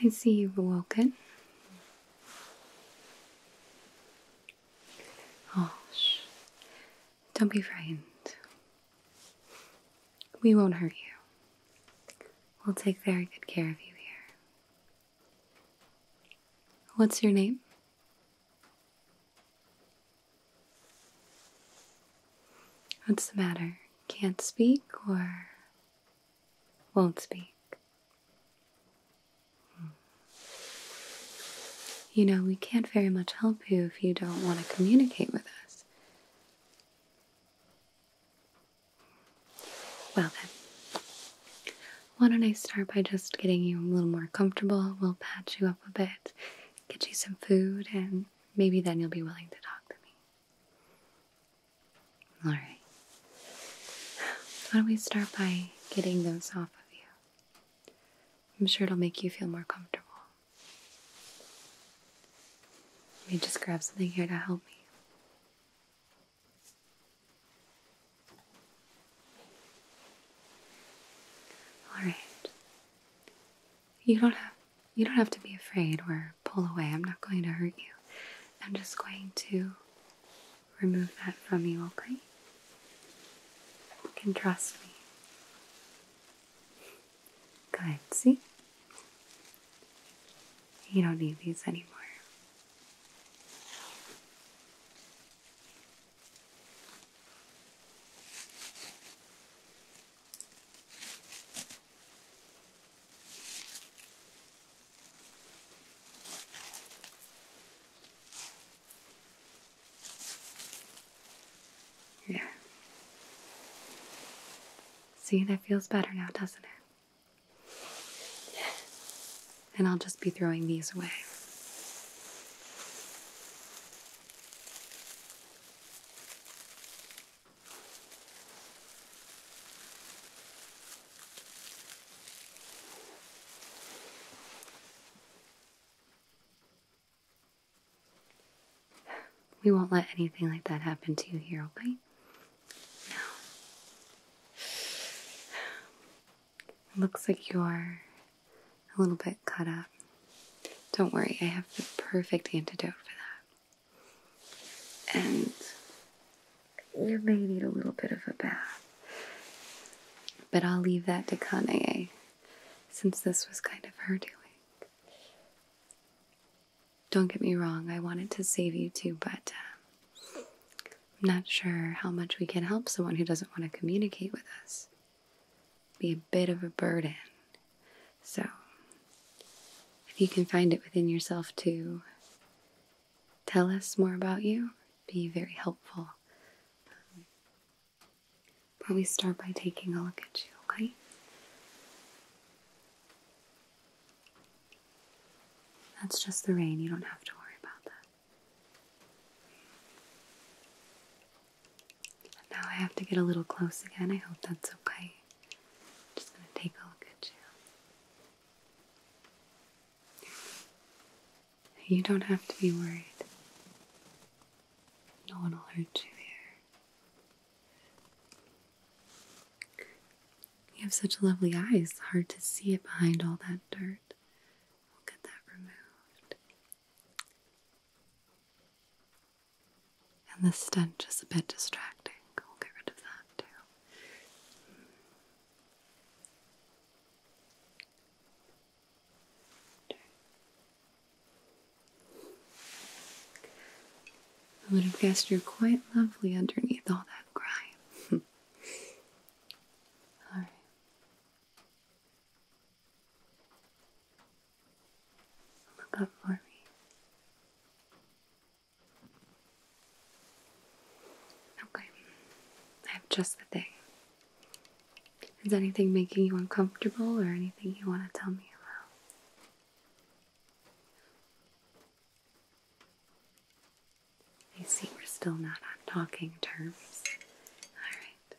I see you've woken. Oh, don't be frightened. We won't hurt you. We'll take very good care of you here. What's your name? What's the matter? Can't speak or won't speak? Hmm. You know, we can't very much help you if you don't want to communicate with us. Well then, why don't I start by just getting you a little more comfortable? We'll patch you up a bit, get you some food, and maybe then you'll be willing to talk to me. Alright. Why don't we start by getting those off of you? I'm sure it'll make you feel more comfortable. Let me just grab something here to help me. All right. You don't have you don't have to be afraid or pull away. I'm not going to hurt you. I'm just going to remove that from you, okay? You can trust me. Good, see? You don't need these anymore. Yeah. See, that feels better now, doesn't it? And I'll just be throwing these away. We won't let anything like that happen to you here, okay? Now, looks like you're a little bit cut up. Don't worry, I have the perfect antidote for that. And you may need a little bit of a bath. But I'll leave that to Kanae, since this was kind of her doing. Don't get me wrong, I wanted to save you too, but uh, I'm not sure how much we can help someone who doesn't want to communicate with us. Be a bit of a burden. So, if you can find it within yourself to tell us more about you, be very helpful probably start by taking a look at you, okay? That's just the rain, you don't have to worry about that. now I have to get a little close again, I hope that's okay. I'm just gonna take a look at you. You don't have to be worried. No one will hurt you here. You have such lovely eyes, hard to see it behind all that dirt. We'll get that removed. And the stench is a bit distracting. We'll get rid of that too. I would have guessed you're quite lovely underneath all that grime. all right. Look up for me. Okay. I have just the thing. Is anything making you uncomfortable or anything you want to tell me about? You see we're still not on talking terms. All right.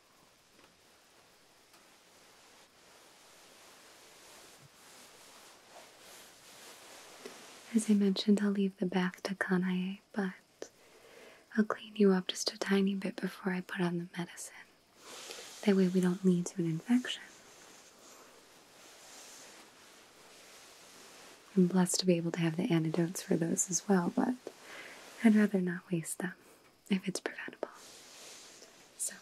As I mentioned, I'll leave the bath to Kanae, but I'll clean you up just a tiny bit before I put on the medicine. That way we don't lead to an infection. I'm blessed to be able to have the antidotes for those as well, but I'd rather not waste them if it's preventable. So,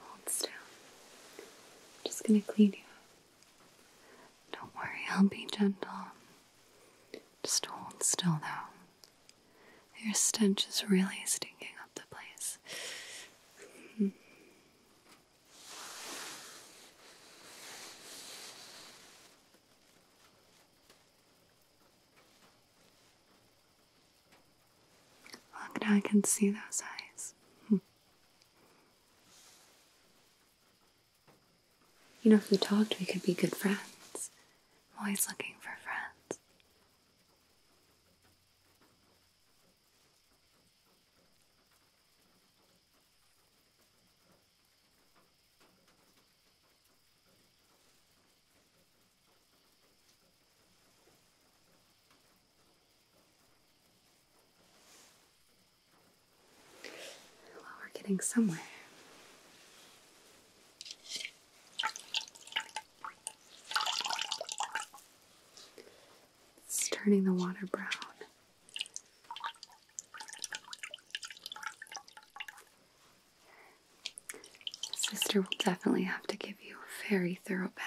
Hold still. I'm just gonna clean you up. Don't worry, I'll be gentle. Just hold still though. Your stench is really stinking up the place. Look, now I can see those eyes. Hmm. you know, if we talked, we could be good friends. I'm always looking for friends. Well, we're getting somewhere. It's turning the water brown. Sister will definitely have to give you a very thorough bath.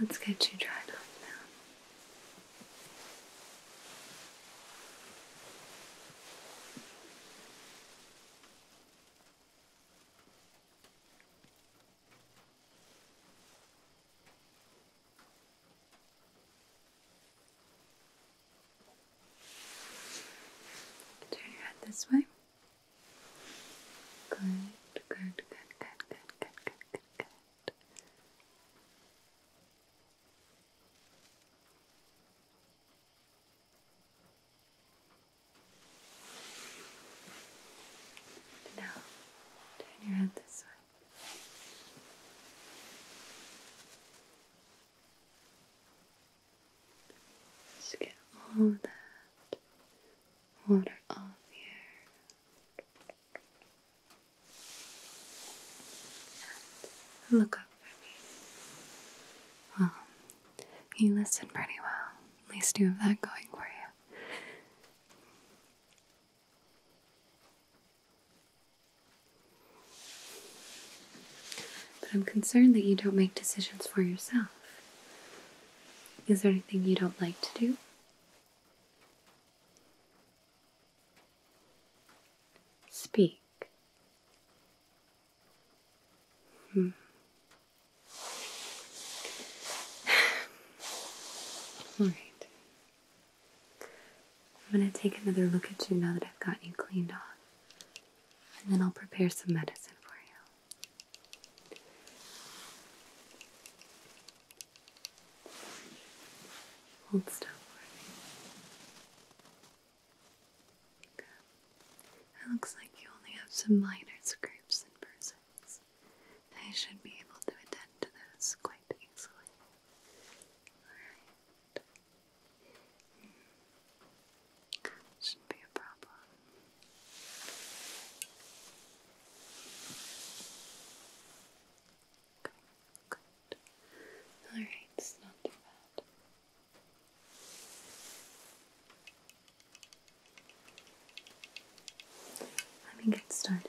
Let's get you dried off now. Turn your head this way. Good, good, good, good, good, good, good, good, Now, turn your head this way. Just get all of that water off here. look up for me. Well, you listen pretty well. At least you have that going for you. But I'm concerned that you don't make decisions for yourself. Is there anything you don't like to do? Speak. Hmm. All right. I'm going to take another look at you now that I've got you cleaned off, and then I'll prepare some medicine for you. Hold still for It looks like you only have some minor scrapes and bruises. I should be able to attend to those quite easily. Hmm. Shouldn't be a problem. Alright, it's not too bad. Let me get started.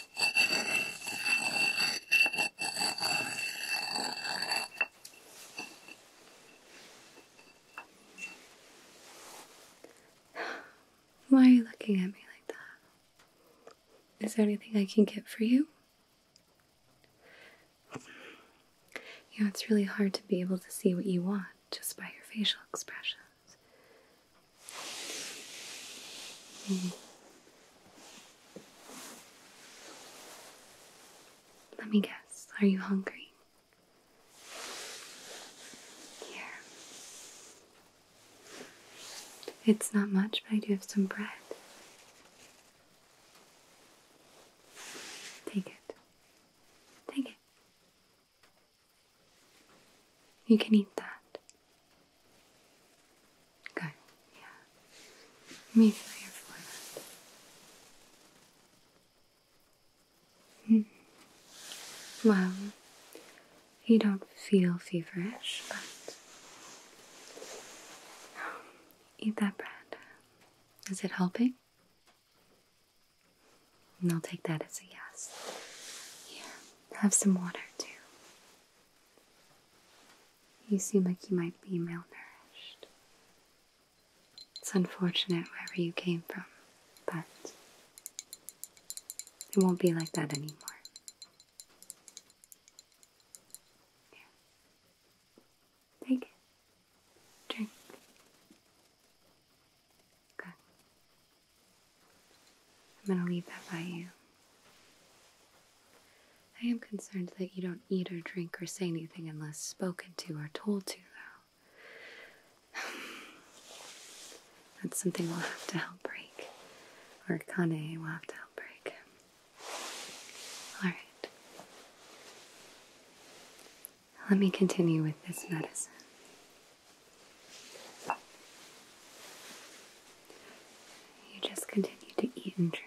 Why are you looking at me like that? Is there anything I can get for you? You know, it's really hard to be able to see what you want just by your facial expression. Mm. Let me guess, are you hungry? Here. It's not much, but I do have some bread. Take it. Take it. You can eat that. Good, yeah. Let me feel your forehead. Mm. Well, you don't feel feverish, but eat that bread. Is it helping? I'll take that as a yes. Here, have some water too. You seem like you might be malnourished. It's unfortunate wherever you came from, but it won't be like that anymore. Here. Take it. Drink. Good. I'm going to leave that by you. I am concerned that you don't eat or drink or say anything unless spoken to or told to, though. That's something we'll have to help break. Or Kane will have to help break. Alright. Let me continue with this medicine. You just continue to eat and drink.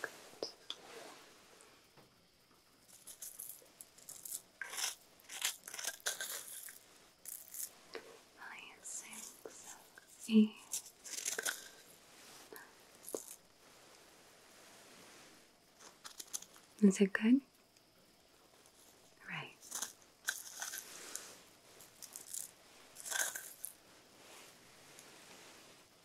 Good. Nine, six, eight. Is it good? Right.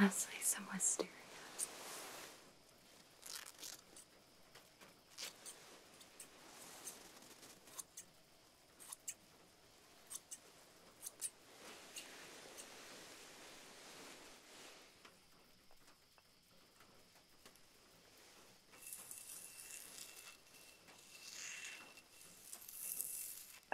Lastly, some wisteria.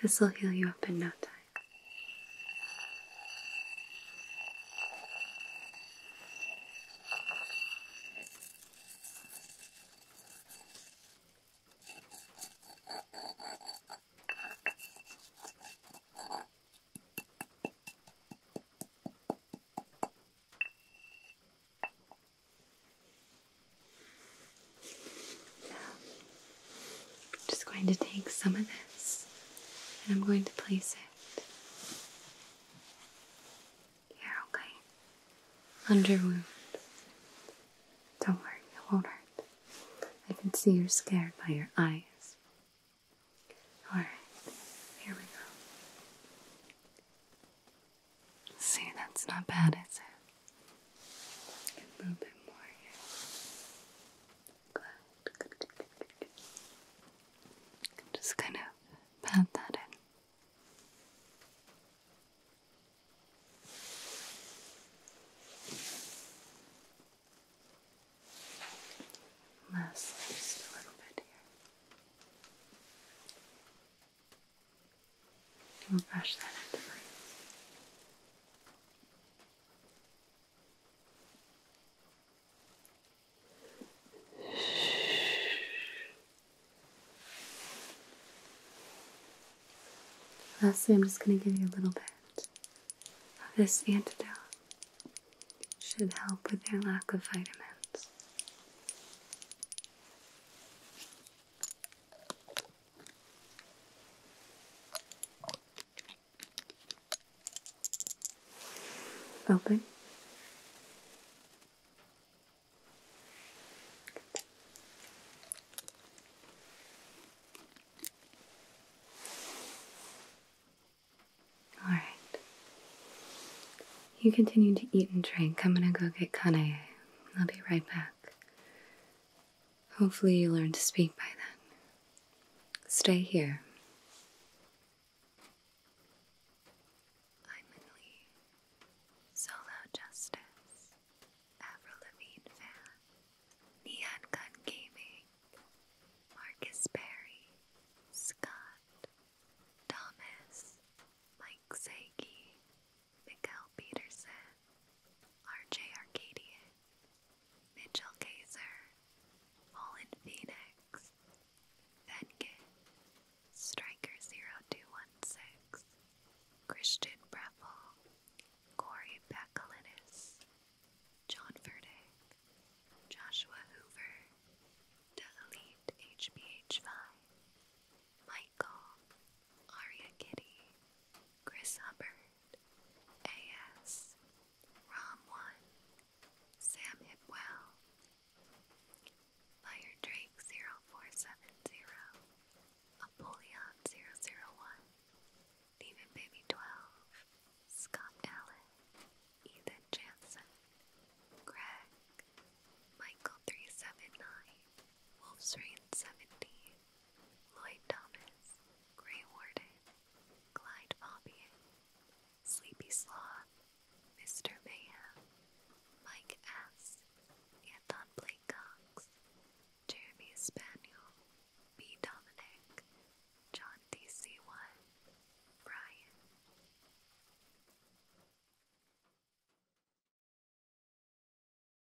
This will heal you up in no time. I'm just going to take some of this and I'm going to place it here, okay? Under your wound. Don't worry, it won't hurt. I can see you're scared by your eyes. Alright, here we go. See, that's not bad, is it? A little bit more here. Just kind of pat that in. Lastly, just a little bit here. We'll brush that into place. Lastly, I'm just going to give you a little bit of this antidote. Should help with your lack of vitamins. Open. All right. You continue to eat and drink. I'm gonna go get Kanae. I'll be right back. Hopefully, you learn to speak by then. Stay here. I'm in solo justice, Avril Lavigne fan, Neon Gun Gaming, Marcus Berry, Scott, Thomas, Mike Sankey, Miguel Peterson, RJ Arcadian, Mitchell Kaiser, Holland Phoenix, Venkin, Striker0216, Christian Breffel, Corey Bacalitis, John Verdick, Joshua Hoover, The Elite Michael, Aria Kitty, Chris Hubbard, A.S. Rom1, Sam Hipwell, Fire Drake 0470, Apollyon 001, Demon Baby 12, Scott Allen, Ethan Jansen, Greg, Michael 379, Wolf's Rain 70, Lloyd Thomas, Grey Warden, Clyde Fabian, Sleepy Sloth, Mr. Mayhem, Mike S., Anton Blake Cox, Jeremy Spaniel, B. Dominic, John DC1, Brian.